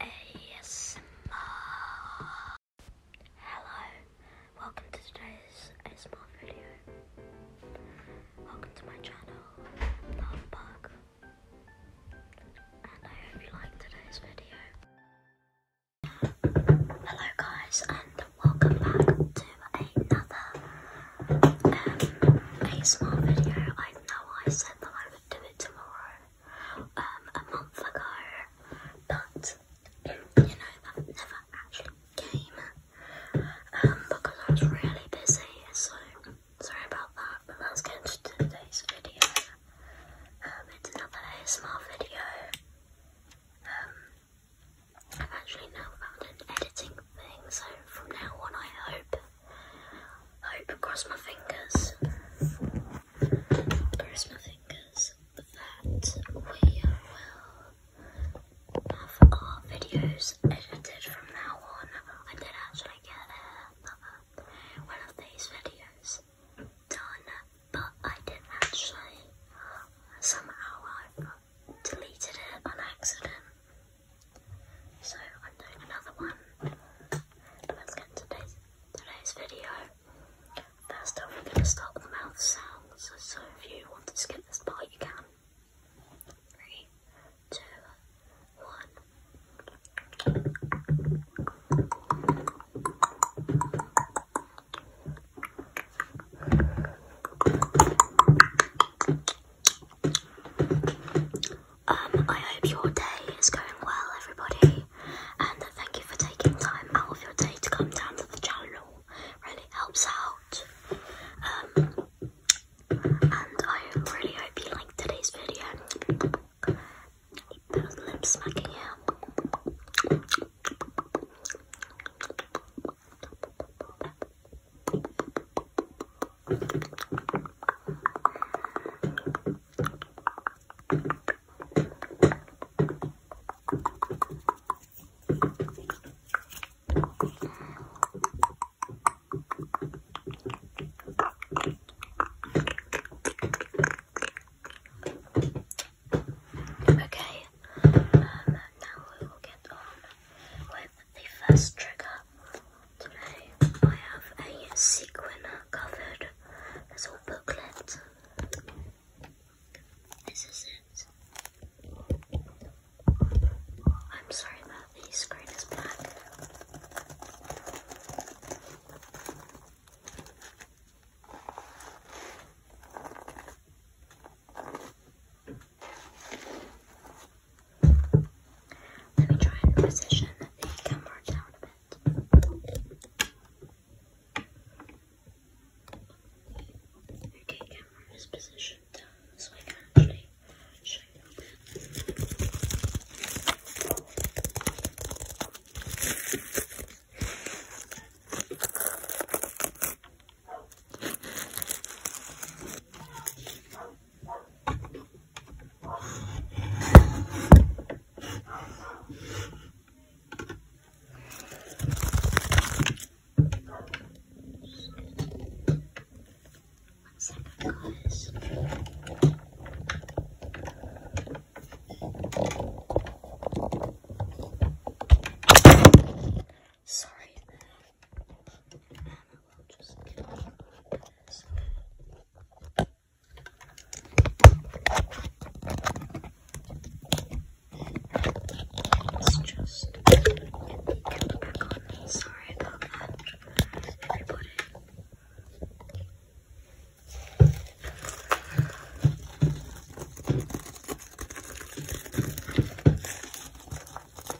ASMR. Hello, welcome to today's ASMR video. Welcome to my channel, Love And I hope you like today's video. Hello guys and welcome back to another um, ASMR video. I know I said that I would do it tomorrow. Um, a month ago, but you know, that never actually came um, because I was really busy, so sorry about that. But that's going to today's video. Um, it's another small video. Um, I've actually now found an editing thing, so from now on, I hope hope, cross my fingers, cross my fingers that we will have our videos edited from now on. I did actually get uh, one of these videos done, but I didn't actually, somehow I deleted it on accident. So I'm doing another one but let's get into today's, video. First we're going to start with mouth sounds. So if you want to skip this part, you can. Three, two, one. Um, I hope your day is going well, everybody, and thank you for taking time out of your day to come down to the channel. Really helps out. Um, and I really hope you liked today's video. lip smacking here. Okay, um, now we will get on with the first trigger today I have a sequin covered little booklet. This is it. I'm sorry that the screen is black. Let me try and position the camera down a bit. Okay, camera is positioned so I can actually show you a bit. Sorry. Um, will just Sorry about that, everybody.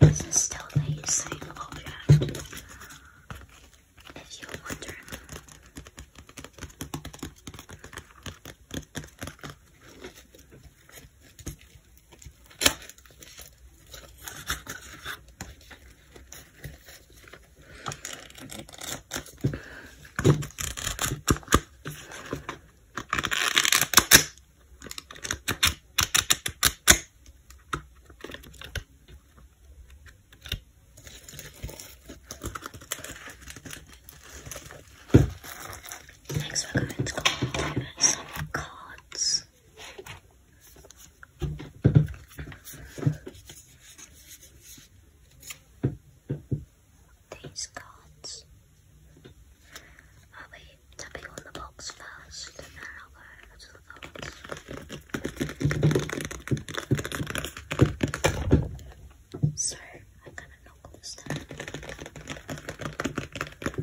This is still the same object. If you're wondering. Thanks for are to cards. These cards. I'll tapping on the box first then I'll go to the cards. So I'm gonna knock this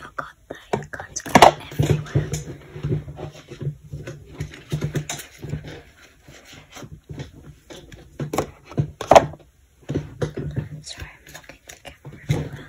Oh god, the guns are everywhere. Sorry, I'm looking at the camera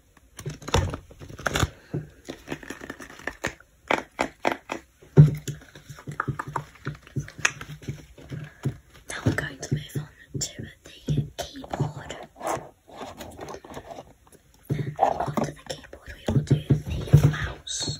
Now we're going to move on to the keyboard. after the keyboard, we will do the mouse.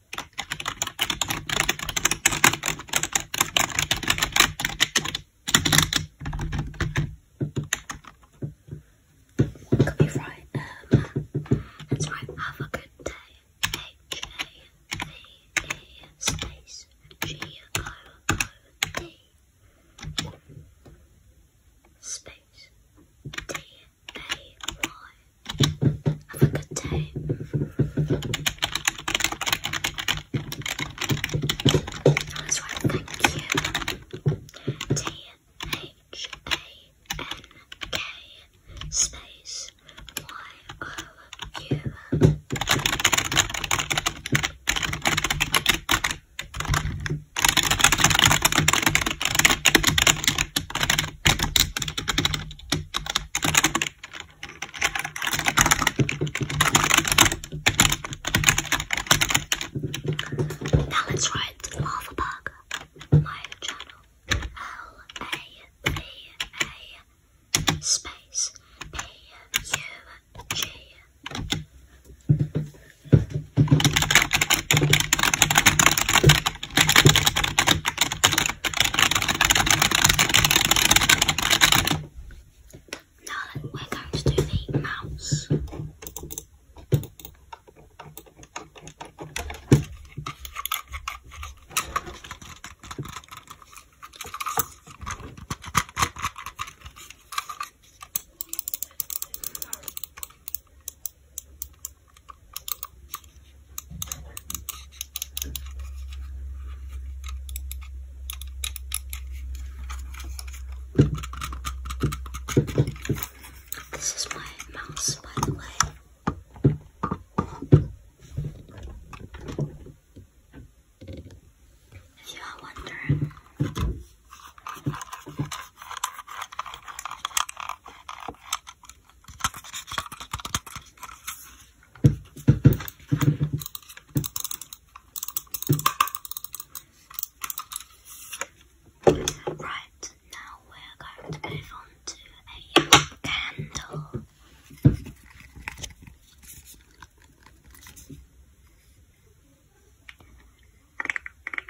Could that's right. Um, have a good day. H A V E space G O O D space D have a good day. That's right. Thank you. T H A N K space Y O U. Now let's write lava bug. My channel. L A V A space P U G. Now then, we're going to do the mouse. This is my mouse, by the way. If you are wondering. Right, now we're going to move on to a candle.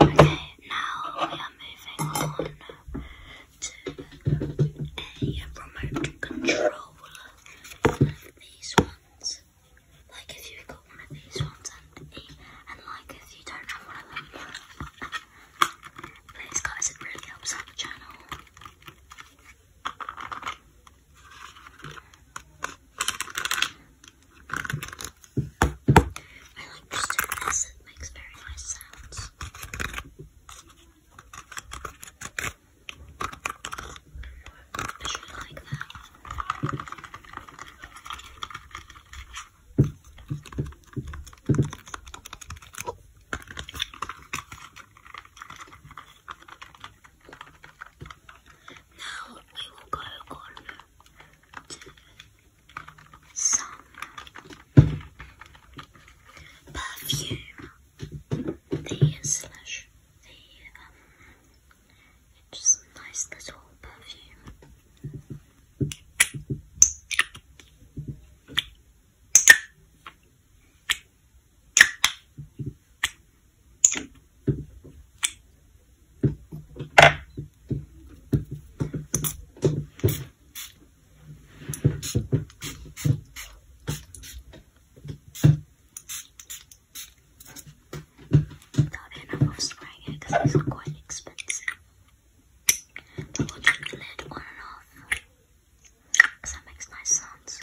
Okay, now we are moving on to a remote control. These ones. Like if you've got one of these ones and, and like if you don't have one of them. Please guys, it really helps out channel. I like pursuing this, it makes very nice sounds. I should like that. Now we will go on some perfume. The um, just some nice little perfume. Without enough of spraying it because these quite expensive. So we'll the lid on and off because that makes nice sounds.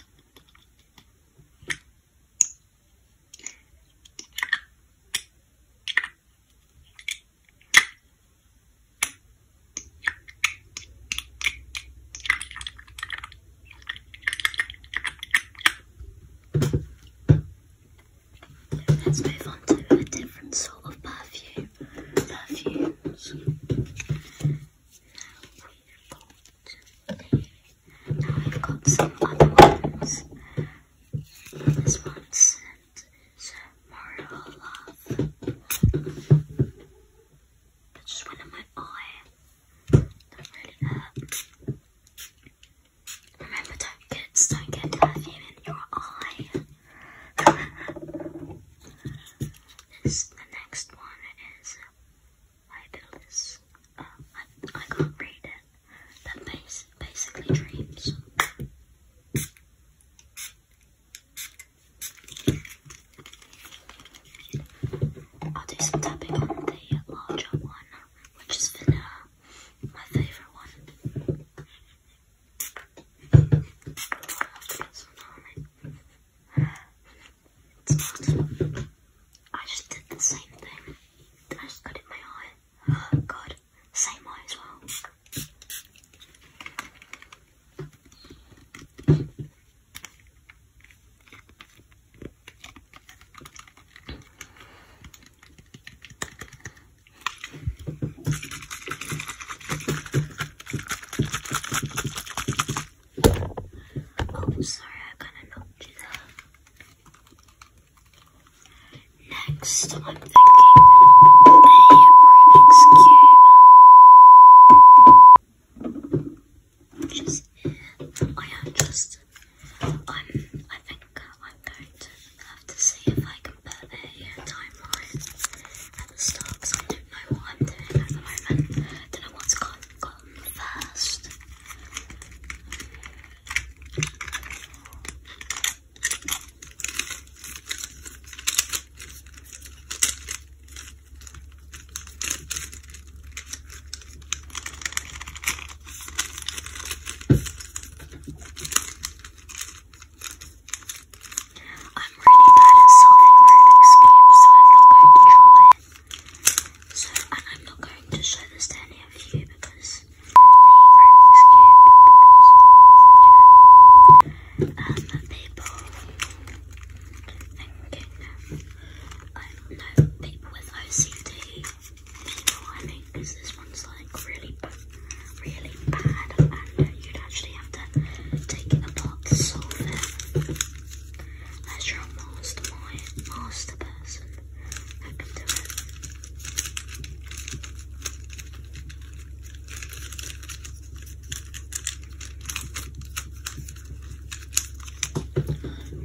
Let's move on to a different sort of perfume. Now we have got some other ones. This one's sent is Mario Love. That just went in my eye. That really hurt. Remember, don't kids don't get perfume in your eye. this the next one is I can't read it that base basically dreams. I'll do some tapping on the larger one, which is vanilla, my favourite one. It's not. I just did the same thing. I just got in my eye. Oh god, same eye as well. Oh, sorry, I kind of knocked Next, I'm thinking a Rubik's Cube. I am just, I'm, I think I'm going to have to see if I can put a timeline at the start because I don't know what I'm doing at the moment. don't know what's gone first. I'm really bad at solving Rubik's so I'm not going to try it. and I'm not going to show this to any of you because really, people you with OCD people, I think, this one's like really, really bad and you'd actually have to take it apart to solve it. That's your master, master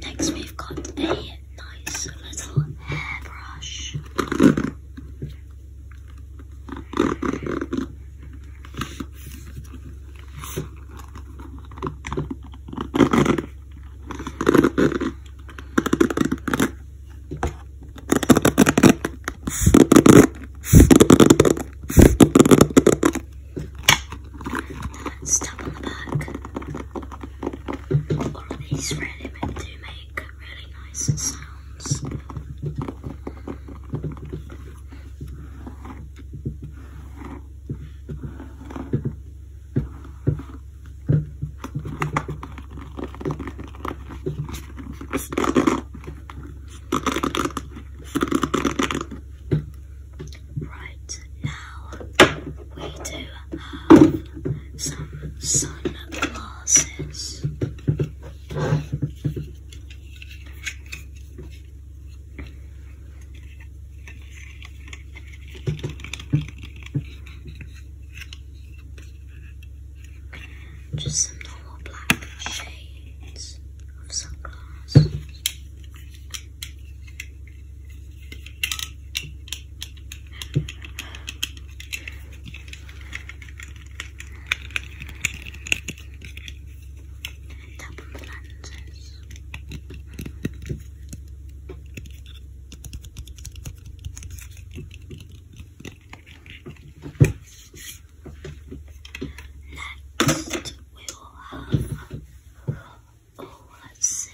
Next, we've got a nice little hairbrush. Stuff on the back. All of these really make, do make really nice sounds. Right now, we do have some sunglasses. Just some normal black shades of sunglasses. Double lenses. Next, we will have, oh, let's see.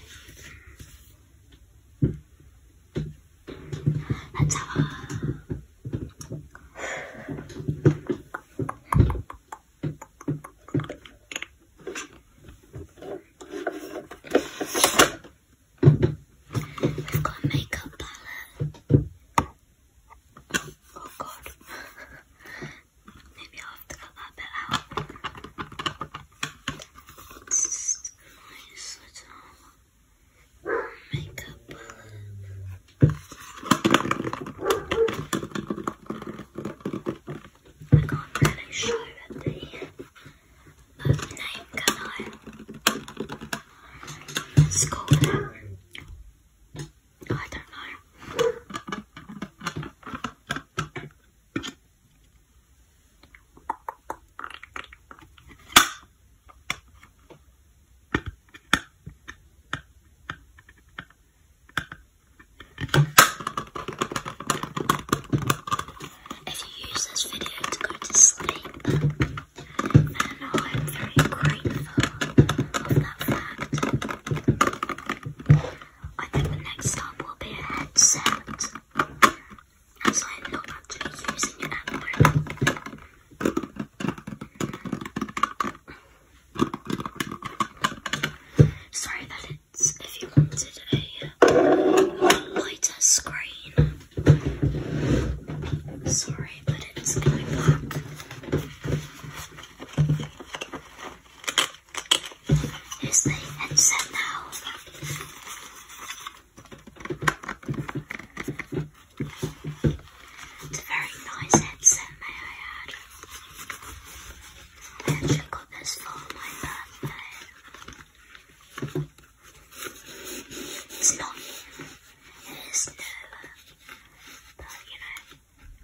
Let's have I've got makeup palette. Oh god. Maybe i have to cut that bit out. makeup palette can't really show the name, can I? It's called, um, I don't know. If you use this video to go to sleep, then I'm very grateful of that fact. I think the next stop will be a headset, as I'm not actually using it at the moment. Sorry that if you wanted a lighter screen. Sorry, but it's going black. Here's the headset now. It's a very nice headset, may I add. Jingle this for my birthday. It's not It is nowhere. But you know,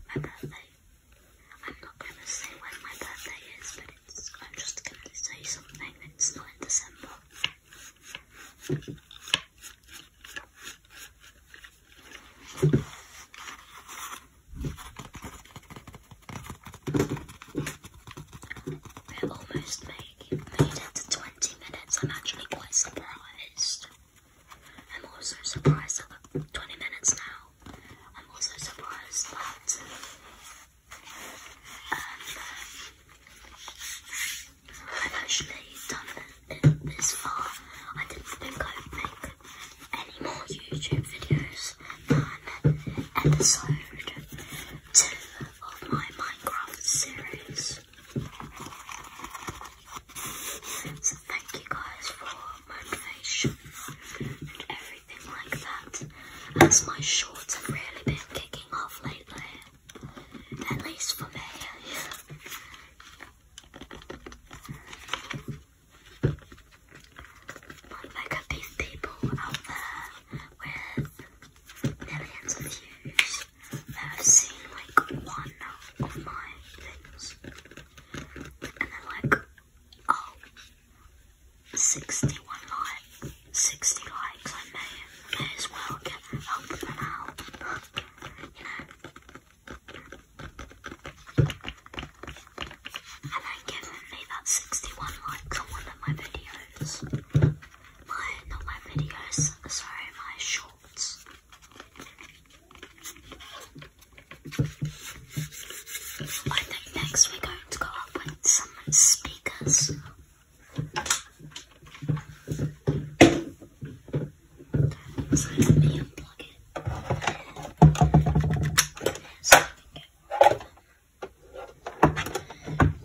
my birthday. I'm not gonna say when my birthday is, but it's. I'm just gonna say something It's not in December. We're almost made, made it to 20 minutes. I'm actually quite surprised. I'm also surprised that 20 minutes now. I'm also surprised that um, I've actually done it this far. I didn't think I would make any more YouTube videos on episode two of my Minecraft series. So thank you guys for motivation and everything like that. As my shorts have really been kicking off lately. At least for me. Look at these people out there with millions of views have seen like one of my things. And they're like, oh, 61 likes, 60 likes, I may, as well get a them out. You know? And then given me that 61 likes on one of my videos. My, not my videos, sorry, my shorts. I think next we're going to go up with some speakers. let me unplug it.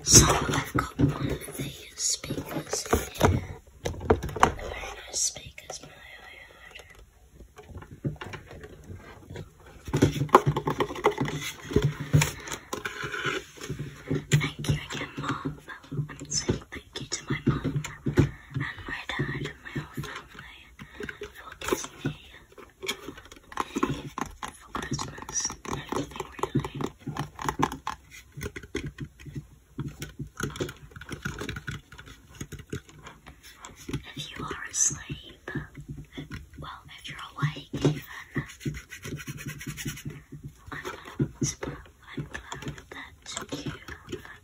So I've got one of these speakers here. they very nice speakers, but Thank you again, Mom. am saying thank you to my mom and my dad and my whole family for Disney, for Christmas, anything really. If you are asleep, well, if you're awake even, I'm gonna whisper, I'm glad that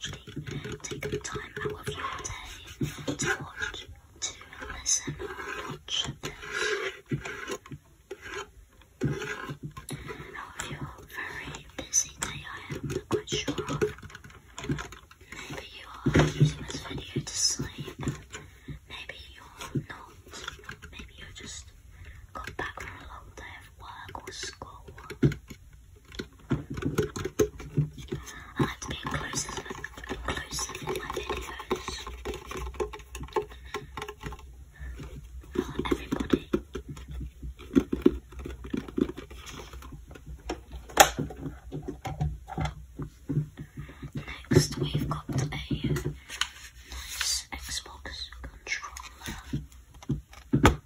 you Take taken time out of your day to watch, to listen, watch out of your very busy day, I am quite sure Maybe you are using this video to sleep, maybe you're not, maybe you just got back from a long day of work or school. I like to be inclusive, inclusive in my videos. Not everybody. Next, we've got a nice Xbox controller.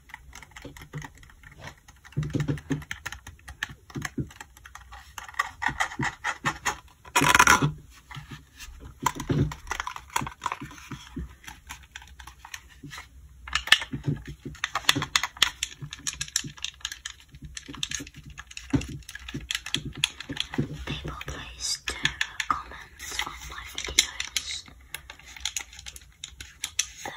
People, please do comment on my videos. Um,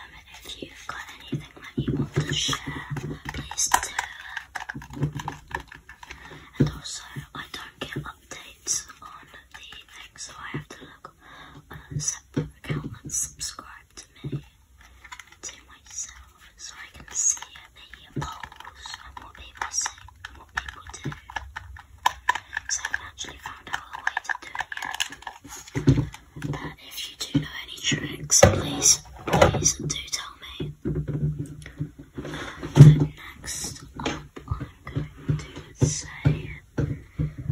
if you've got anything that you want to share, please do. And also, I don't get updates on the thing, so I have to look on a separate account and subscribe to me, to myself, so I can see the polls and what people say and what people do. So I've actually found out a way to do it yet. But if you do know any tricks, please, please do tell me. next up, I'm going to say, eight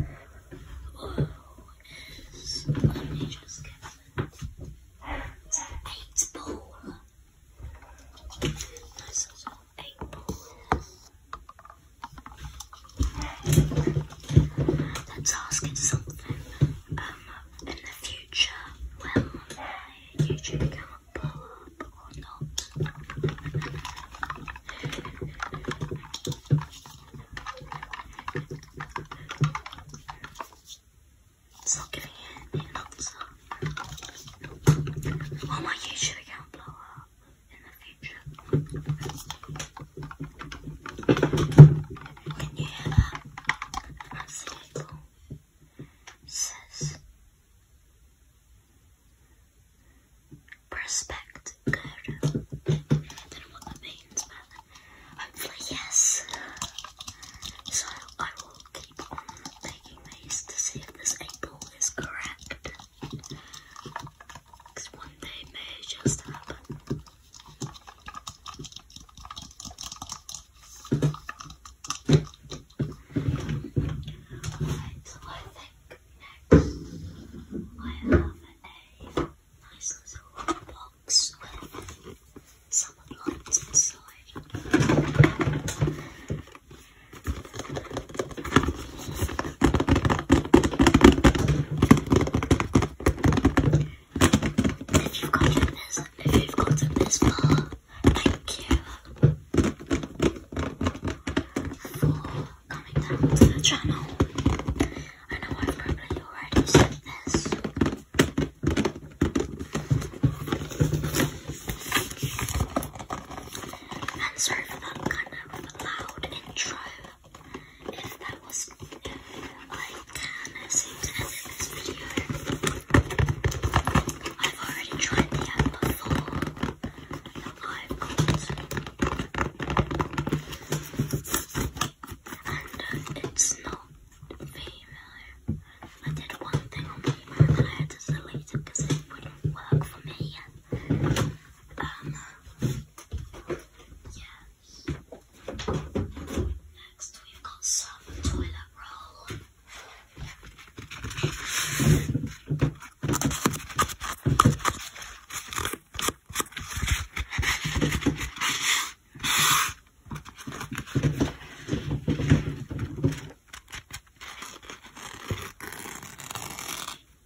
ball. eight ball. Let's ask it something um, in the future. Will my YouTube account blow up or not? It's not giving an answer. Will my YouTube account blow up? in the future. When you hear that, that's the label. says Prospect Code. don't know what that means, but hopefully, yes. So I will keep on taking these to see if this apple is correct. Because just happen. I think next I have a nice little box with some lights inside. If you've gotten this, if you've gotten this far, thank you for coming down to the channel. I know I've probably already said this. And am sorry for that kind of loud intro. If that was, I can seem to this video. I've already tried the app before. I've got, and uh, it's not Vimeo. I did one thing on Vimeo and then I had to delete it because it wouldn't work for me. Um, yes. Next, we've got some toilet roll.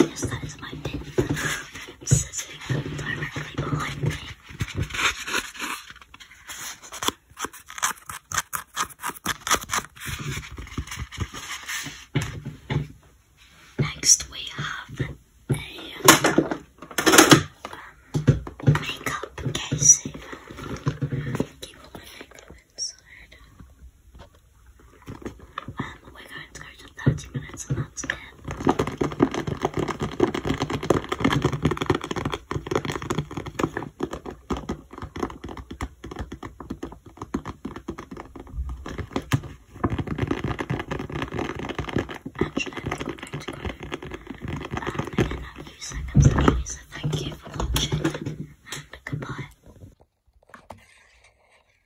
Yes, that is my pen. sitting directly behind me. Next, we have a um, makeup case going to go 30 minutes and that's it. I think we're to go um, in a few seconds actually, so thank you for watching and goodbye.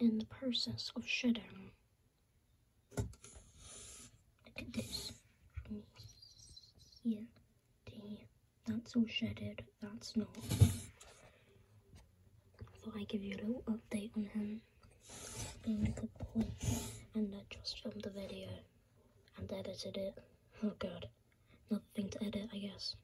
in the process of shedding. Look at this. From here That's all shedded, that's not. Thought I'd give you a little update on him And I just filmed the video and edited it. Oh god. Nothing to edit, I guess.